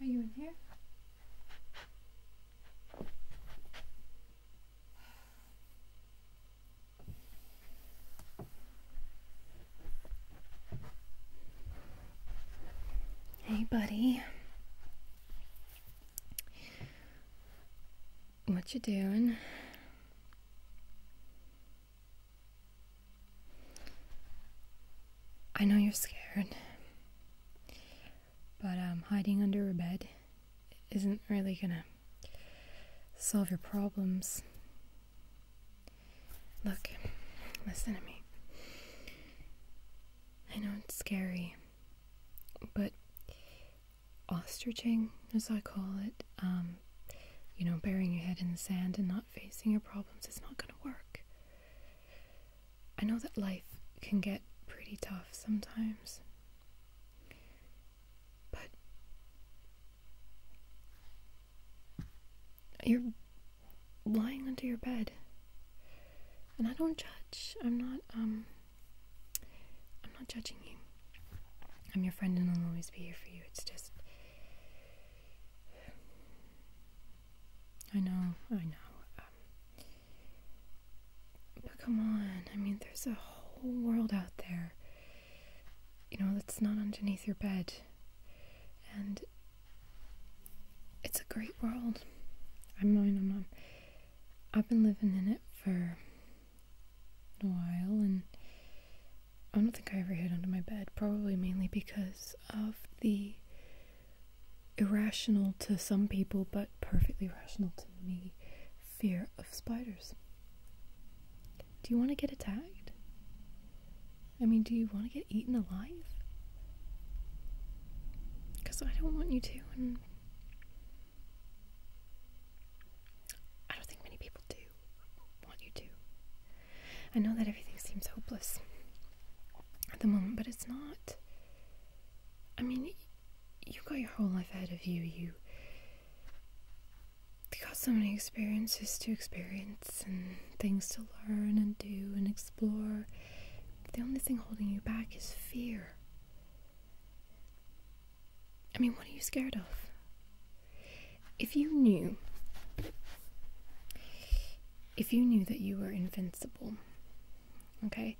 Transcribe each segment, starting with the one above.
Are you in here? Hey, buddy. What you doing? I know you're scared, but um, hiding under a bed isn't really gonna solve your problems. Look, listen to me. I know it's scary. But ostriching, as I call it, um, you know, burying your head in the sand and not facing your problems is not going to work. I know that life can get pretty tough sometimes. But you're lying under your bed. And I don't judge. I'm not um I'm not judging you. I'm your friend and I'll always be here for you. It's just I know, I know. Um, but come on, I mean there's a whole world out there. You know, that's not underneath your bed. And it's a great world. I am I'm not, I've been living in it for a while, and I don't think I ever hid under my bed, probably mainly because of the irrational to some people, but perfectly rational to me, fear of spiders. Do you want to get attacked? I mean, do you want to get eaten alive? Because I don't want you to, and I don't think many people do want you to. I know that everything seems hopeless at the moment, but it's not. I mean, you got your whole life ahead of you. You got so many experiences to experience and things to learn and do and explore. The only thing holding you back is fear. I mean, what are you scared of? If you knew, if you knew that you were invincible, okay,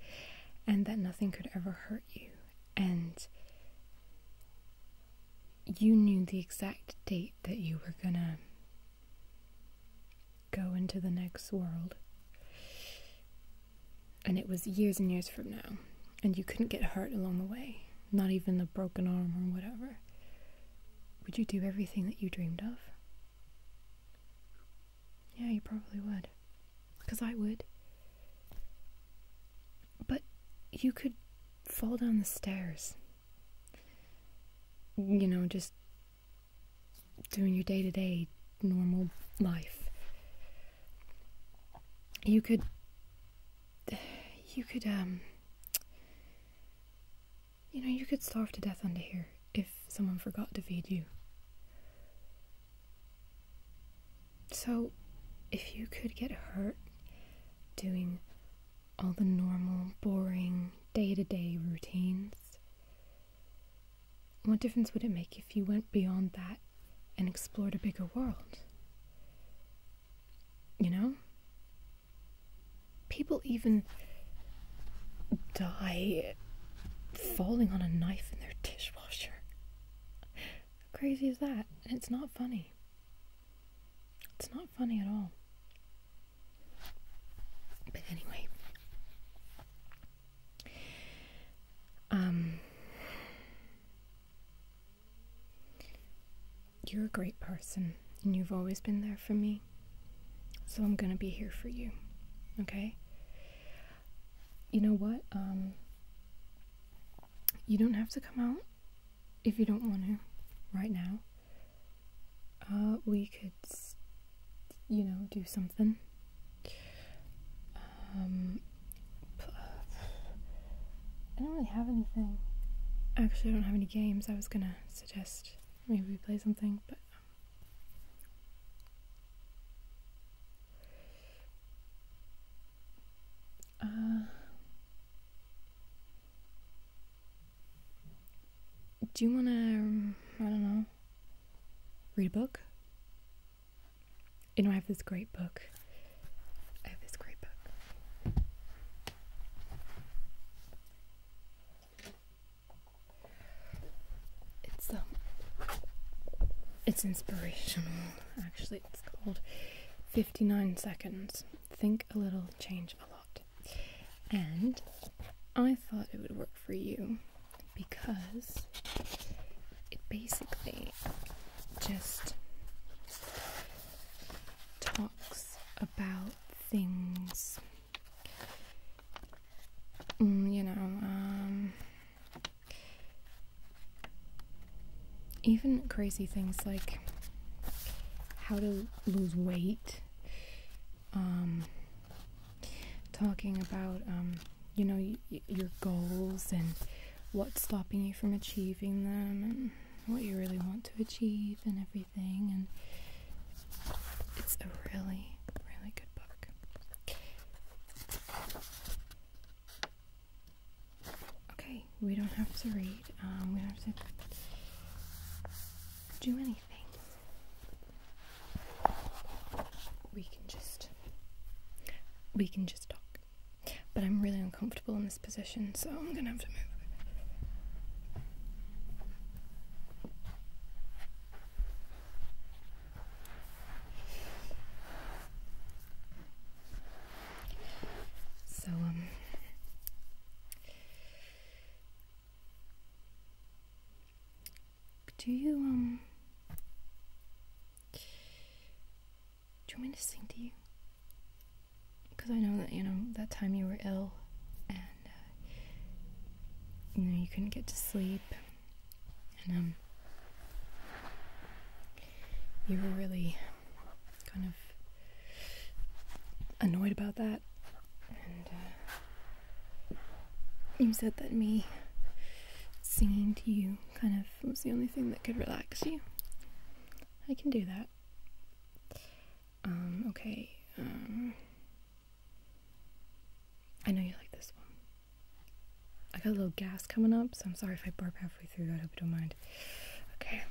and that nothing could ever hurt you, and you knew the exact date that you were gonna go into the next world. And it was years and years from now. And you couldn't get hurt along the way, not even the broken arm or whatever. Would you do everything that you dreamed of? Yeah, you probably would. Because I would. But you could fall down the stairs you know, just doing your day to day normal life. You could, you could, um, you know, you could starve to death under here if someone forgot to feed you. So, if you could get hurt doing all the normal, boring, day to day routines? What difference would it make if you went beyond that and explored a bigger world? You know? People even die falling on a knife in their dishwasher. How crazy is that? And it's not funny. It's not funny at all. But anyway. Um You're a great person and you've always been there for me. So I'm going to be here for you. Okay? You know what? Um, you don't have to come out if you don't want to right now. Uh, we could, you know, do something. Um, I don't really have anything. Actually, I don't have any games. I was gonna suggest maybe play something, but. Um, uh, do you want to, I don't know, read a book? You know, I have this great book. I have this great book. It's, um, it's inspirational, actually. It's called 59 seconds. Think a little, change a lot. And I thought it would work for you because it basically just talks about things, mm, you know, um, even crazy things like how to lose weight um, talking about um, you know your goals and what's stopping you from achieving them and what you really want to achieve and everything and it's a really really good book Okay, we don't have to read. Um, we don't have to do anything. We can just we can just talk. But I'm really uncomfortable in this position, so I'm gonna have to move. So, um, do you, um, do you want me to sing to you? Because I know that, you know, that time you were ill and, uh, you know, you couldn't get to sleep and um, you were really kind of annoyed about that, and uh, you said that me singing to you kind of was the only thing that could relax you. I can do that. Um, okay. Um, I know you like this one. I got a little gas coming up, so I'm sorry if I burp halfway through. I hope you don't mind. Okay.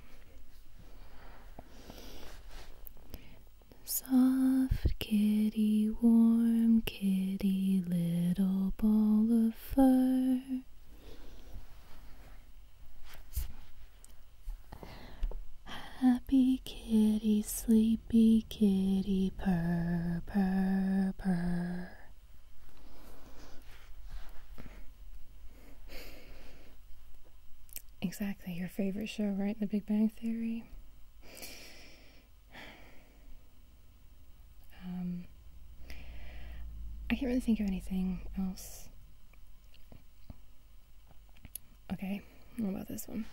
Soft kitty, warm kitty, little ball of fur. Happy kitty, sleepy kitty, purr, purr, purr. Exactly, your favorite show, right? The Big Bang Theory. Um, I can't really think of anything else. Okay, what about this one?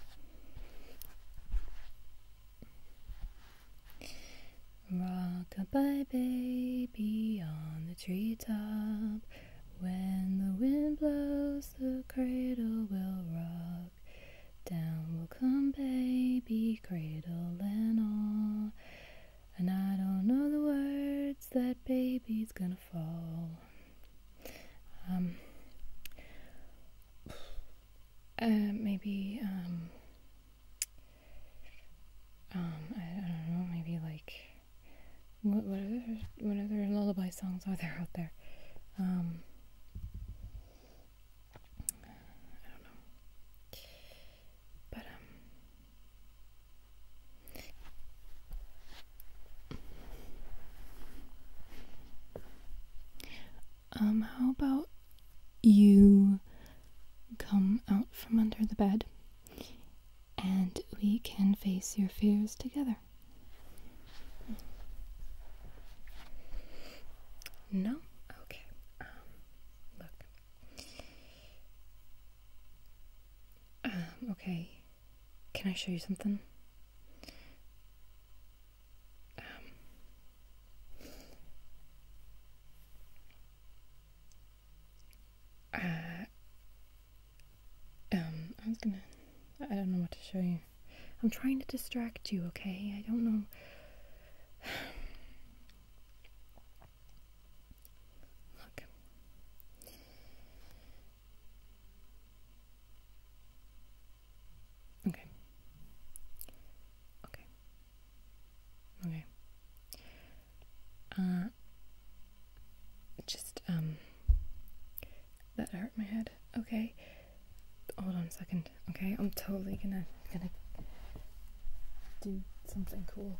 Rock-a-bye baby on the treetop. When the wind blows, the cradle will rock. Down will come baby, cradle and all. And I don't know the words that baby's gonna fall. Um, uh, maybe, um, um I, don't know, maybe like, what, what, other, what other lullaby songs are there out there? Um, I don't know. But, um, um, how about you come out from under the bed and we can face your fears together? No? Okay. Um, look. Um, okay. Can I show you something? Um, uh, um, I was gonna. I don't know what to show you. I'm trying to distract you, okay? I don't know. Look. Okay. Okay. Okay. Uh, just, um, that hurt my head. Okay. Hold on a second. Okay, I'm totally gonna, gonna do something cool.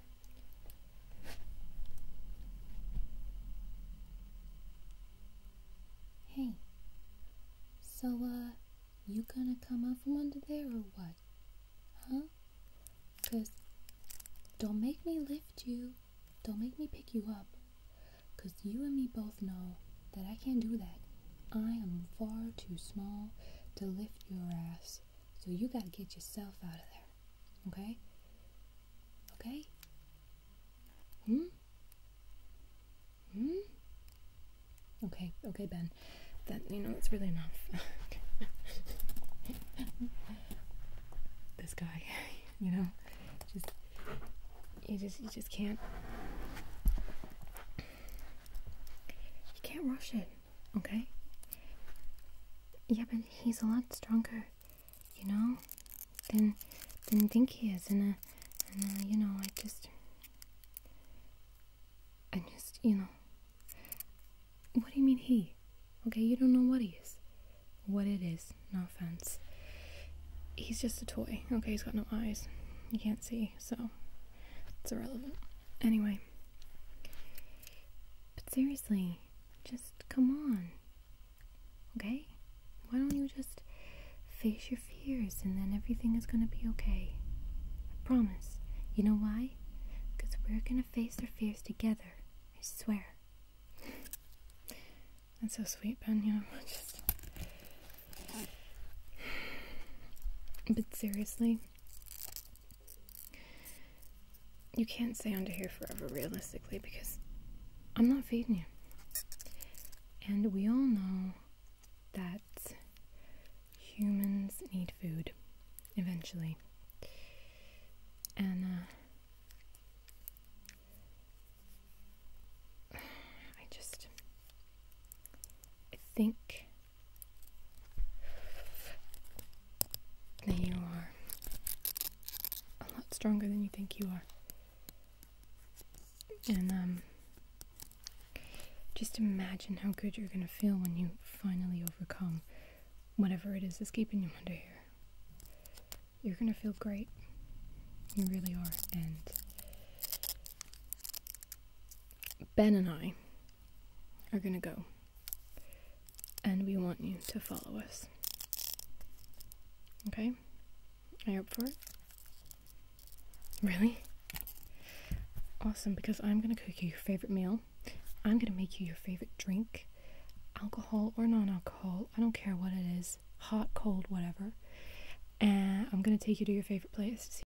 Hey, so, uh, you gonna come out from under there or what? Huh? Cause don't make me lift you. Don't make me pick you up. Cause you and me both know that I can't do that. I am far too small to lift your ass. So you got to get yourself out of there. Okay? Okay? Hmm? Hmm? Okay, okay, Ben. That, you know, it's really enough. this guy, you know, just, you just, you just can't, you can't rush it okay? Yeah, but he's a lot stronger, you know, than than think he is, uh, and uh, you know, I just, I just, you know, what do you mean he? Okay, you don't know what he is, what it is. No offense. He's just a toy. Okay, he's got no eyes. You can't see, so it's irrelevant. Anyway, but seriously, just come on. Okay? Why don't you just face your fears and then everything is gonna be okay? I promise. You know why? Because we're gonna face our fears together. I swear. That's so sweet, Ben. But seriously, you can't stay under here forever, realistically, because I'm not feeding you. And we all know that humans need food eventually. And, uh, I just I think there you are. A lot stronger than you think you are. And um just imagine how good you're gonna feel when you finally overcome whatever it is that's keeping you under here. You're gonna feel great. You really are. And Ben and I are going to go. And we want you to follow us. Okay? Are you for it? Really? Awesome, because I'm going to cook you your favorite meal. I'm going to make you your favorite drink, alcohol or non alcohol. I don't care what it is hot, cold, whatever. And I'm going to take you to your favorite place